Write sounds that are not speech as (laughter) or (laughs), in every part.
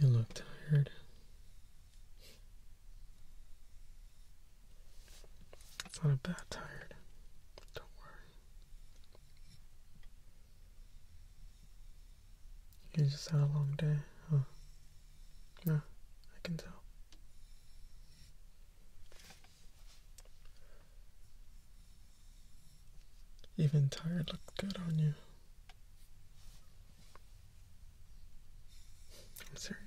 You look tired. It's not a bad tired. Don't worry. You just had a long day, huh? Oh. Yeah, I can tell. Even tired looked good on you. I'm serious.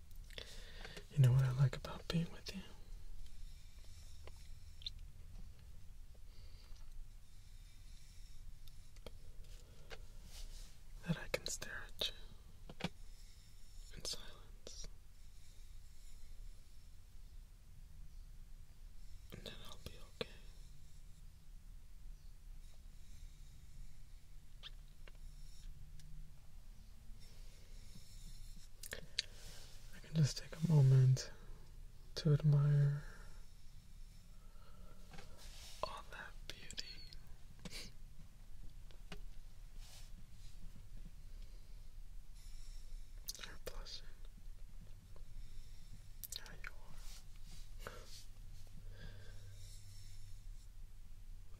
You know what I like about being with you? That I can stare at you in silence. And then I'll be okay. I can just take a moment to admire all that beauty. You're you are.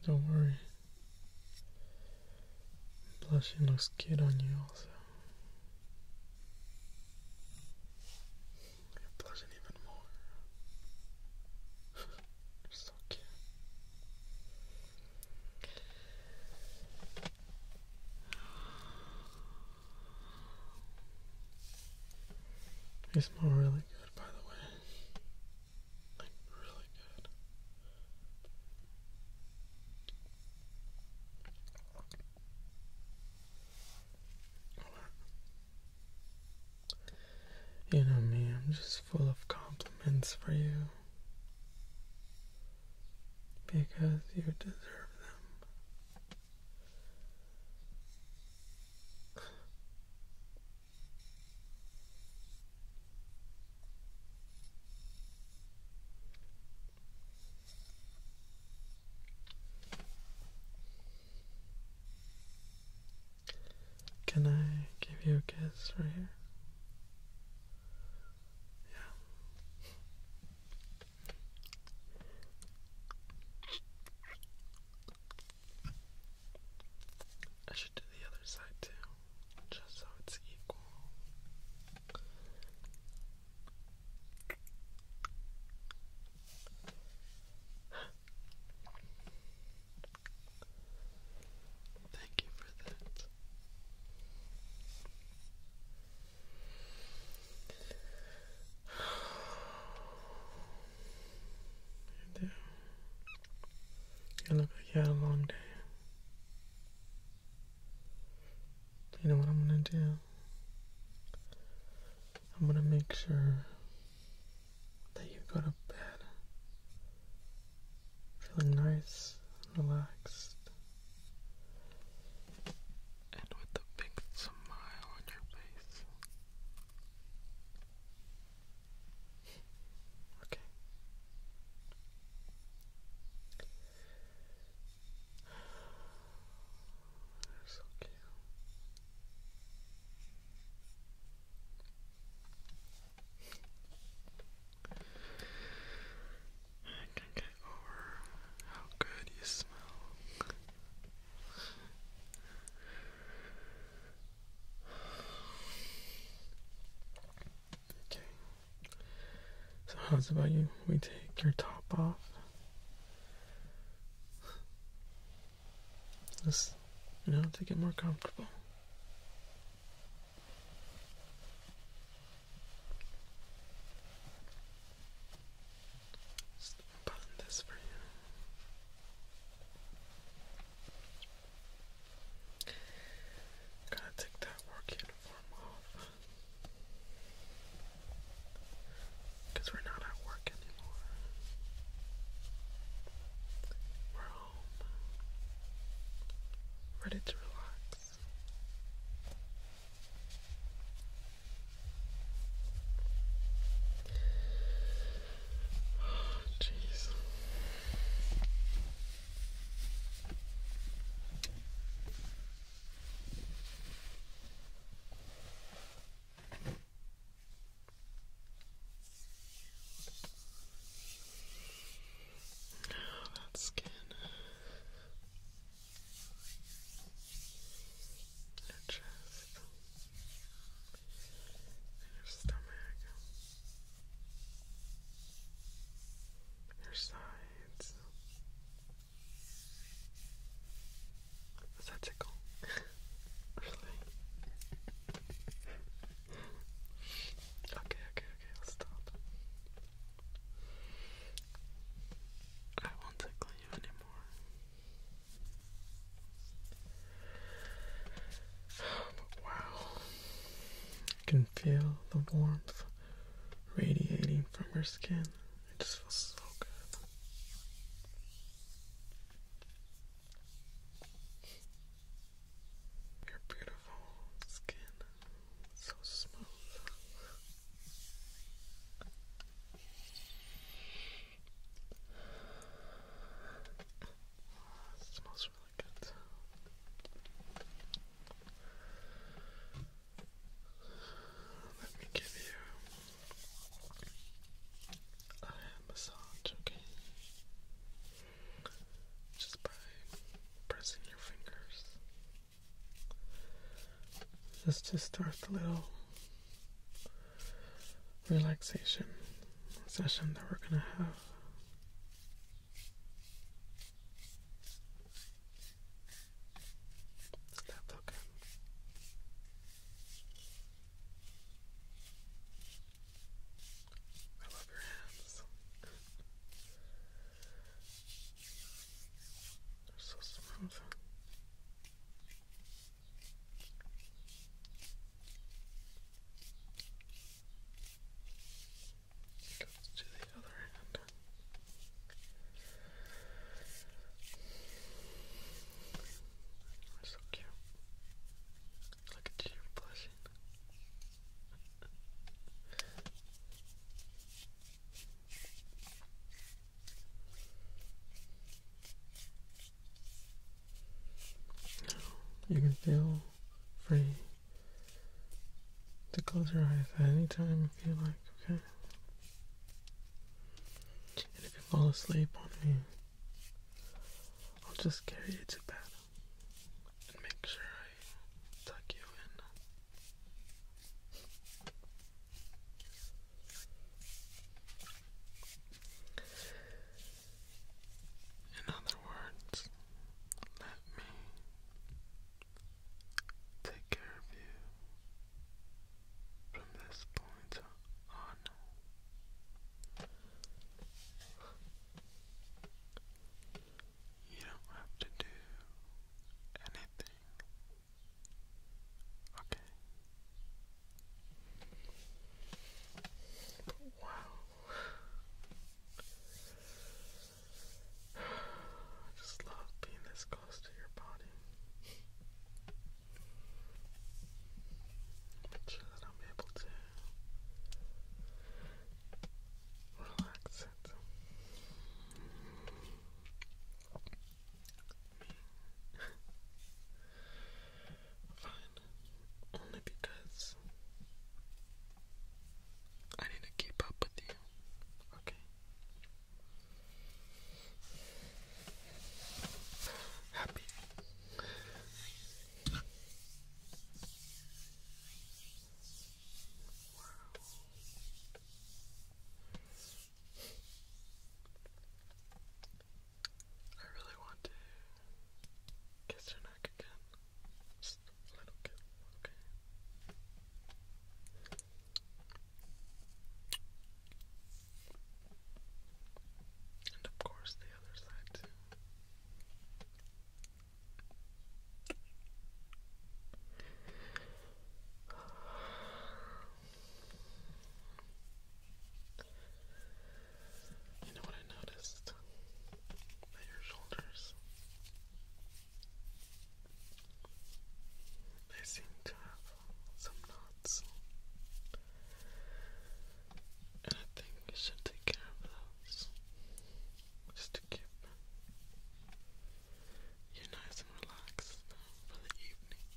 Don't worry. Blushing looks good on you also. you blushing even more. (laughs) You're so cute. You smell really good, by the way. You know me, I'm just full of compliments for you. Because you deserve them. Can I give you a kiss right here? Yeah. I should do the other side too, just so it's equal. Thank you for that. (sighs) (sighs) You do. You look like you had a long day. You know what I'm gonna do? I'm gonna make sure that you go to bed feeling nice and relaxed. And with a big smile on your face. Okay. They're over how good you smell. Okay. (sighs) So how's about you? We take your top off. Just you know to get more comfortable. Just button this for you. Gotta take that work uniform off. Because we're not at work anymore. We're home. Ready to relax. Jeez. Oh, that skin. Your chest. Your stomach your sides. Does that tickle? (laughs) okay, okay, okay, I'll stop. I won't tickle you anymore wow, I can feel the warmth radiating from your skin. It just feels so good. Your beautiful skin, so smooth. It smells really good. Let me give you a massage, okay? Just by pressing your fingers. Just to start the little relaxation session that we're going to have. Is okay? I love your hands. They're so smooth. Goes to the other hand. That's so cute. Look at you blushing. You can feel free to close your eyes at any time if you like, okay? And if you fall asleep on me, I'll just carry you to bed and make sure I tuck you in. In other words, let me take care of you from this point on. You don't have to do anything. Okay. Wow. (sighs) I just love being this close to your body. Make sure that I'm able to relax it. (laughs) Fine. Only because I need to keep up with you. Okay. Happy. I really want to kiss her neck again. Just a little bit, okay? And of course, the other side, too. You know what I noticed? your shoulders they seem to have some knots. And I think you should take care of those. Just to keep you nice and relaxed for the evening.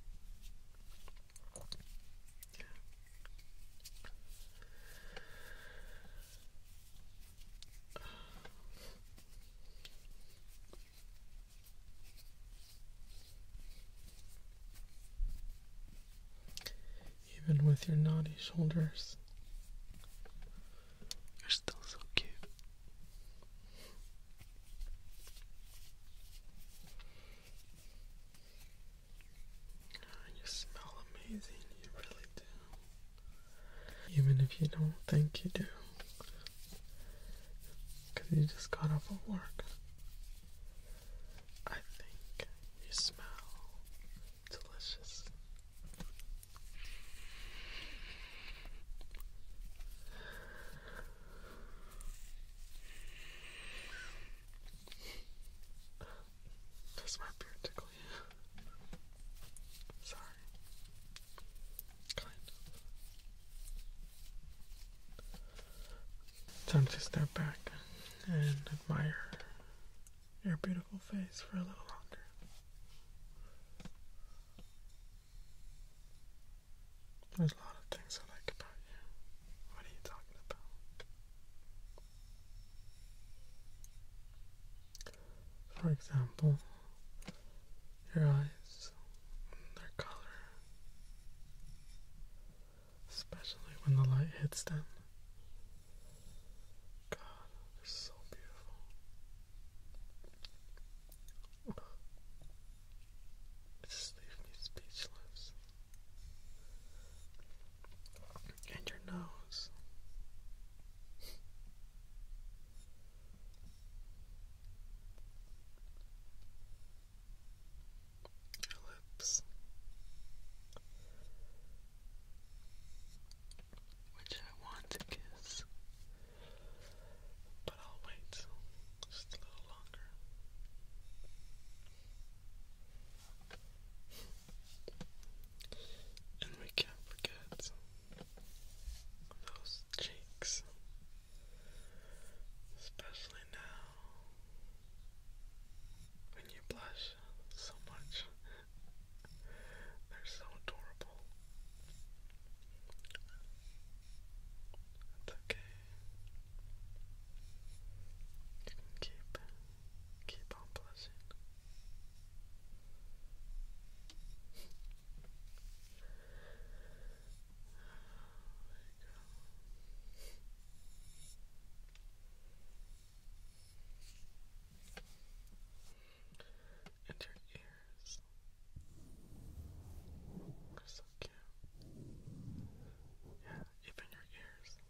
Even with your naughty shoulders, you're still so cute. Uh, you smell amazing, you really do. Even if you don't think you do. Because you just got off of work. I think you smell delicious. Does my beard tickle you? Sorry. Kind Time to step back and admire your beautiful face for a little longer. There's a lot of things I like about you. What are you talking about? For example, your eyes, their color, especially when the light hits them. God, they're so beautiful. Just leave me speechless and your nose. Your lips, which I want to kiss, but I'll wait just a little longer. And we can't forget those cheeks, especially now when you blush so much. They're so adorable. It's okay and keep keep on blessing. you And her ears are so cute. Yeah, even your ears.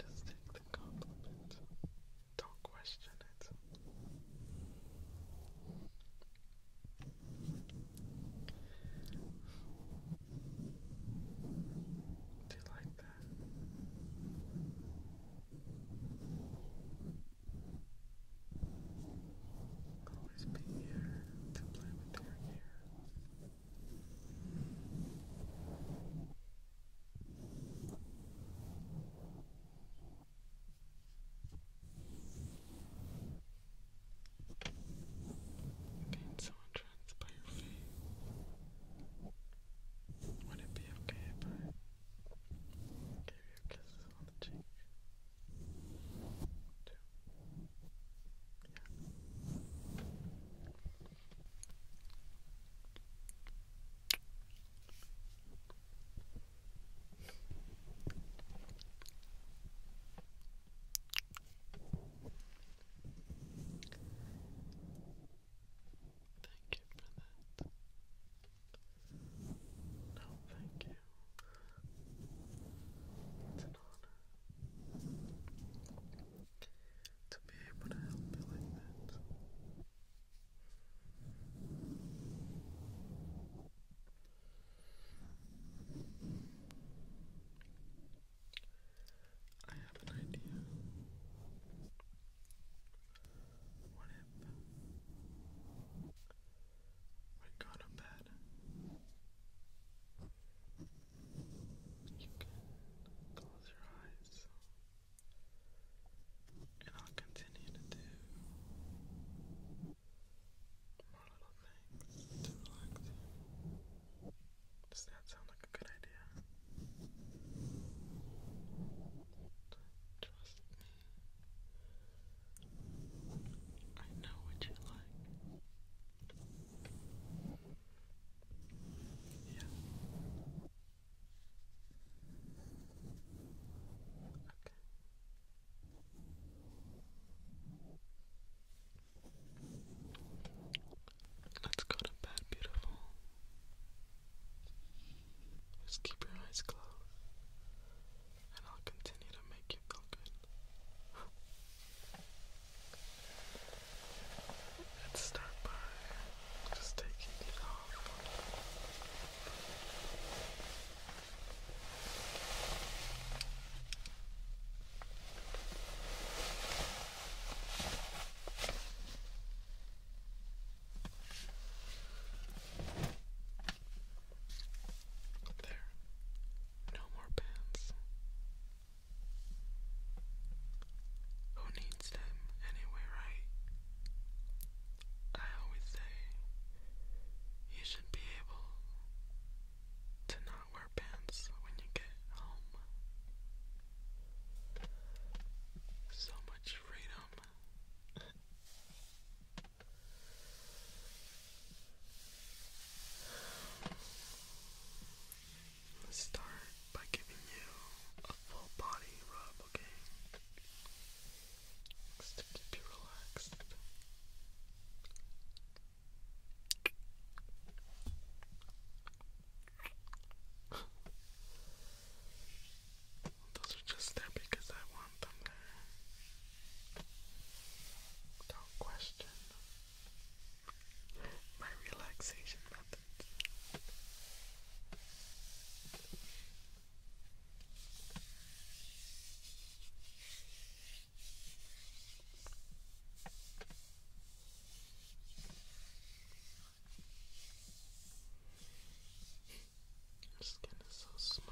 Just take the compliment. Don't question it. Do you like that? Always be here to play with your hair. Gain so entranced by your feet. Would it be okay if I Give you kisses on the cheek. Two. Yeah. Thank you for that. No, thank you. It's an honor to be able to help you like that. I have an idea. What when gone to bed, you close your eyes, and I'll continue to do more little things to relax Does that sound like a good idea? I know what you like. Yeah. Okay. Let's go to bed, beautiful. Just keep your eyes closed, and I'll continue to make you feel good. Let's start by just taking these off. There. No more pants. Who needs them anyway, right? I always say you should be able to not wear pants when you get home. So much freedom. Let's start by giving you a full body rub, okay? Just to keep relaxed. Those are just there because I want them there. do question my relaxation methods. Your skin is so smooth.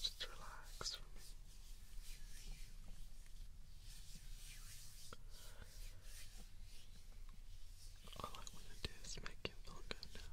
Just relax All I want to do is make you feel good now.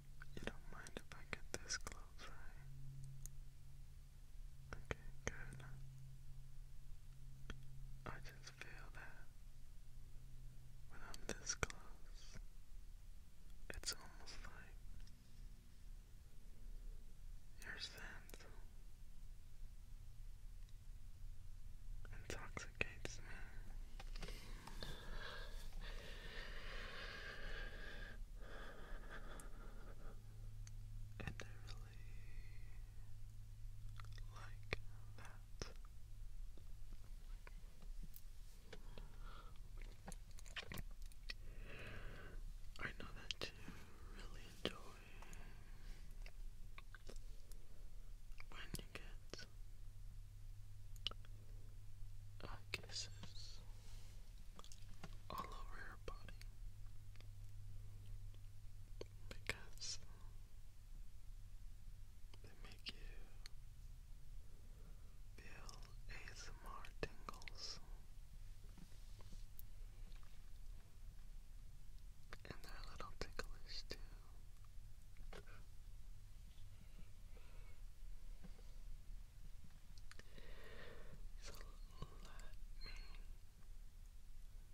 You don't mind if I get this close, right? Okay, good. I just feel that when I'm this close, it's almost like your sense intoxicates me. And I really like that. I know that you really enjoy when you get I all over her body because they make you feel ASMR tingles and they're a little ticklish too so let me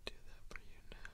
do that for you now.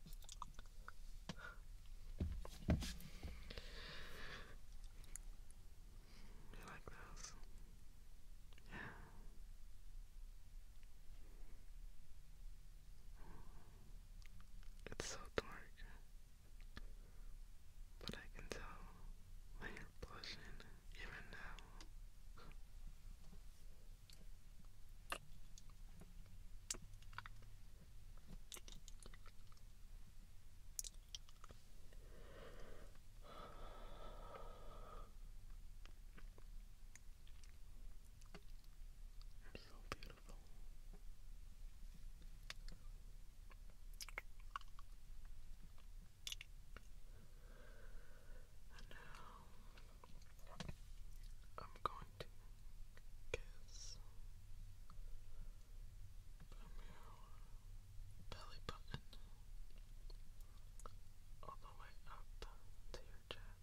You like those? Yeah. It's so dark, but I can tell when you're blushing even now. So beautiful. And now I'm going to guess from your belly button all the way up to your chest.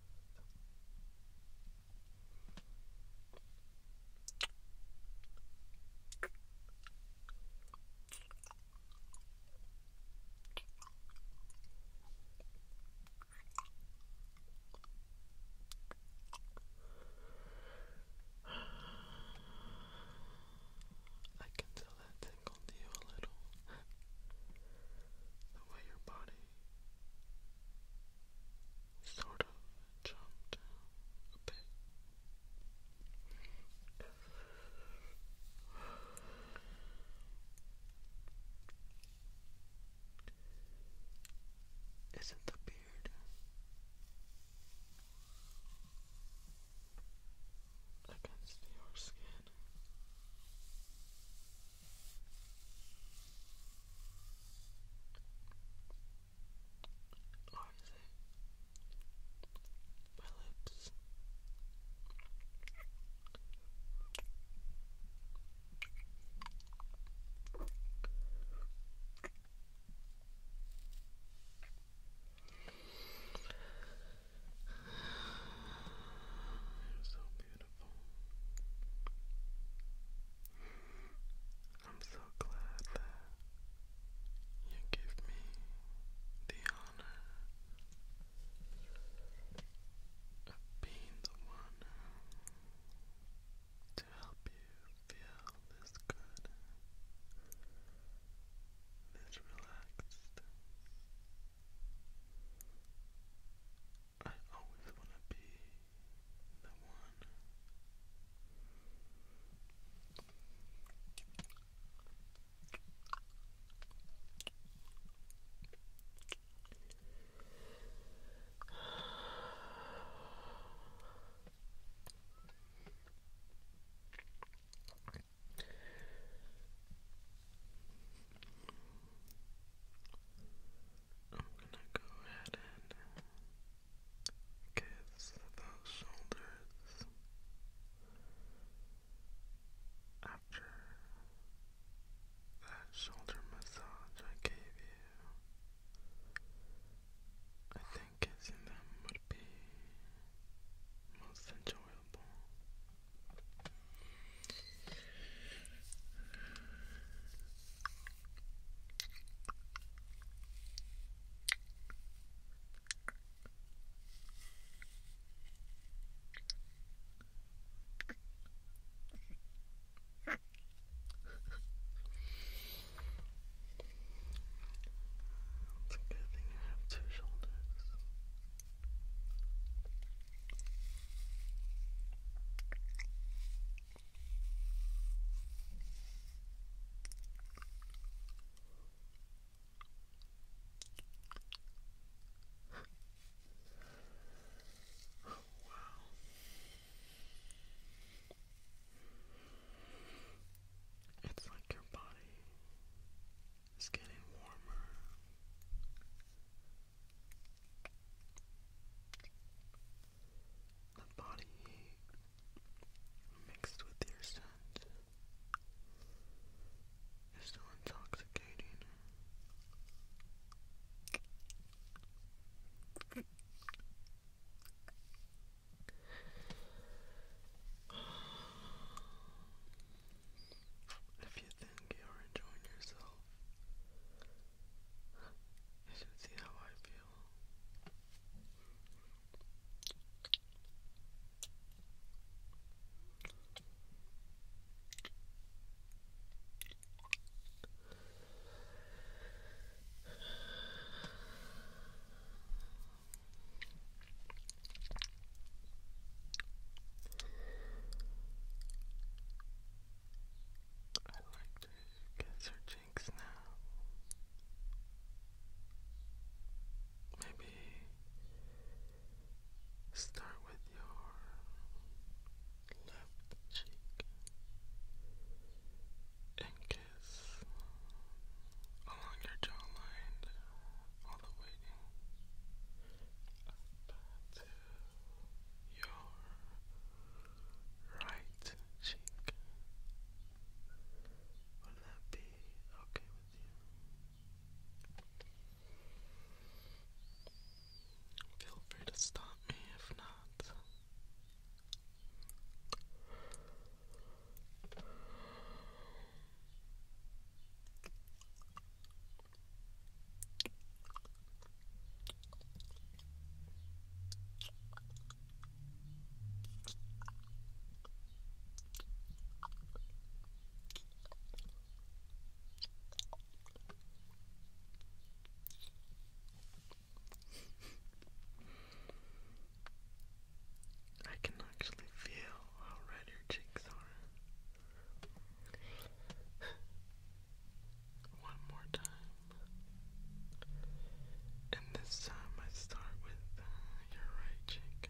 I can tell that tickled you a little. the way your body sort of jumped a bit. Isn't the beard against your skin? Or my lips? You're so beautiful. I'm so glad that you give me the honor of being the one to help you feel this good, this relaxed. I always want to be the one I'm gonna go ahead and kiss those shoulders after that shoulder massage I gave you, I think kissing them would be most enjoyable. It's a good thing I have two shoulders. It's like your body is getting warmer. The body heat mixed with your scent is so intoxicating. If you think you're enjoying yourself, you should see how I feel. I'd like to guess her jinx now. Maybe start with your left cheek and kiss along your jawline all the way up to your right cheek. Would that be okay with you? Feel free to stop me if not. I can actually feel how red your cheeks are. One more time. And this time I start with your right cheek.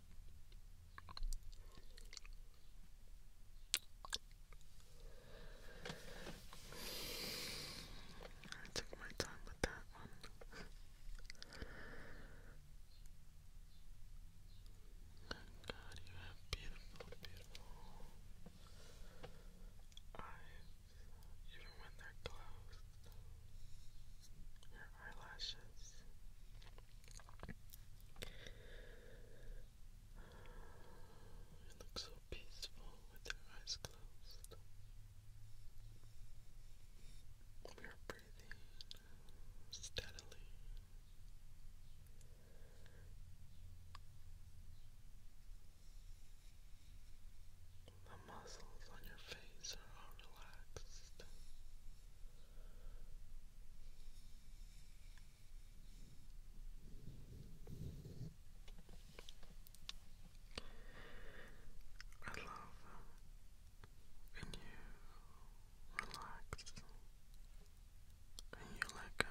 I took my time with that one. Thank God you have beautiful, beautiful eyes, even when they're closed. Your eyelashes. It looks so peaceful with their eyes closed. We are breathing steadily. The muscles on your face are all relaxed. I love when you relax and you let go.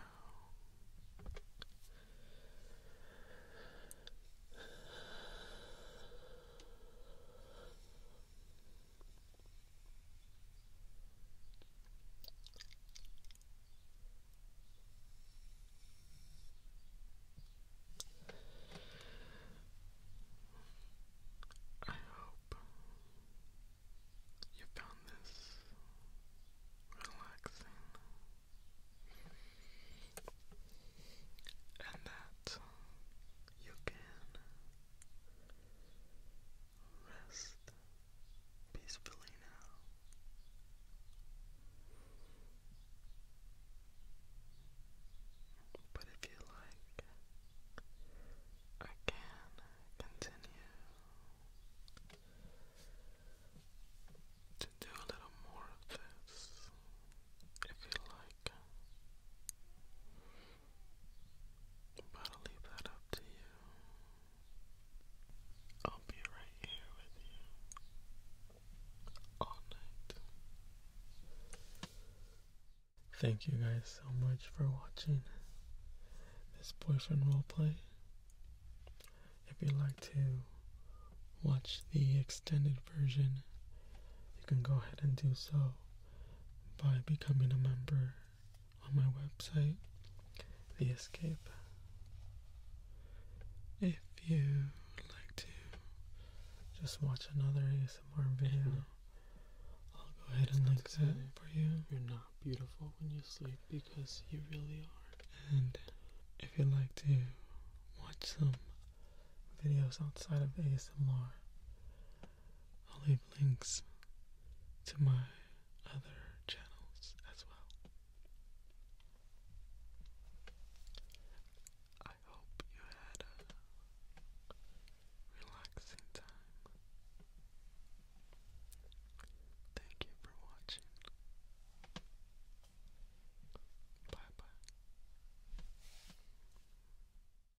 I hope you found this relaxing and that you can rest peacefully now. But if you like, I can continue to do a little more of this if you like. But I'll leave that up to you. I'll be right here with you all night. Thank you guys so much for watching this boyfriend roleplay. If you'd like to watch the extended version, you can go ahead and do so by becoming a member on my website, The Escape. If you would like to just watch another ASMR video, I'll go ahead and link that for you. You're not beautiful when you sleep because you really are. And if you'd like to watch some videos outside of ASMR, I'll leave links to my other channels as well. I hope you had a relaxing time. Thank you for watching. Bye bye.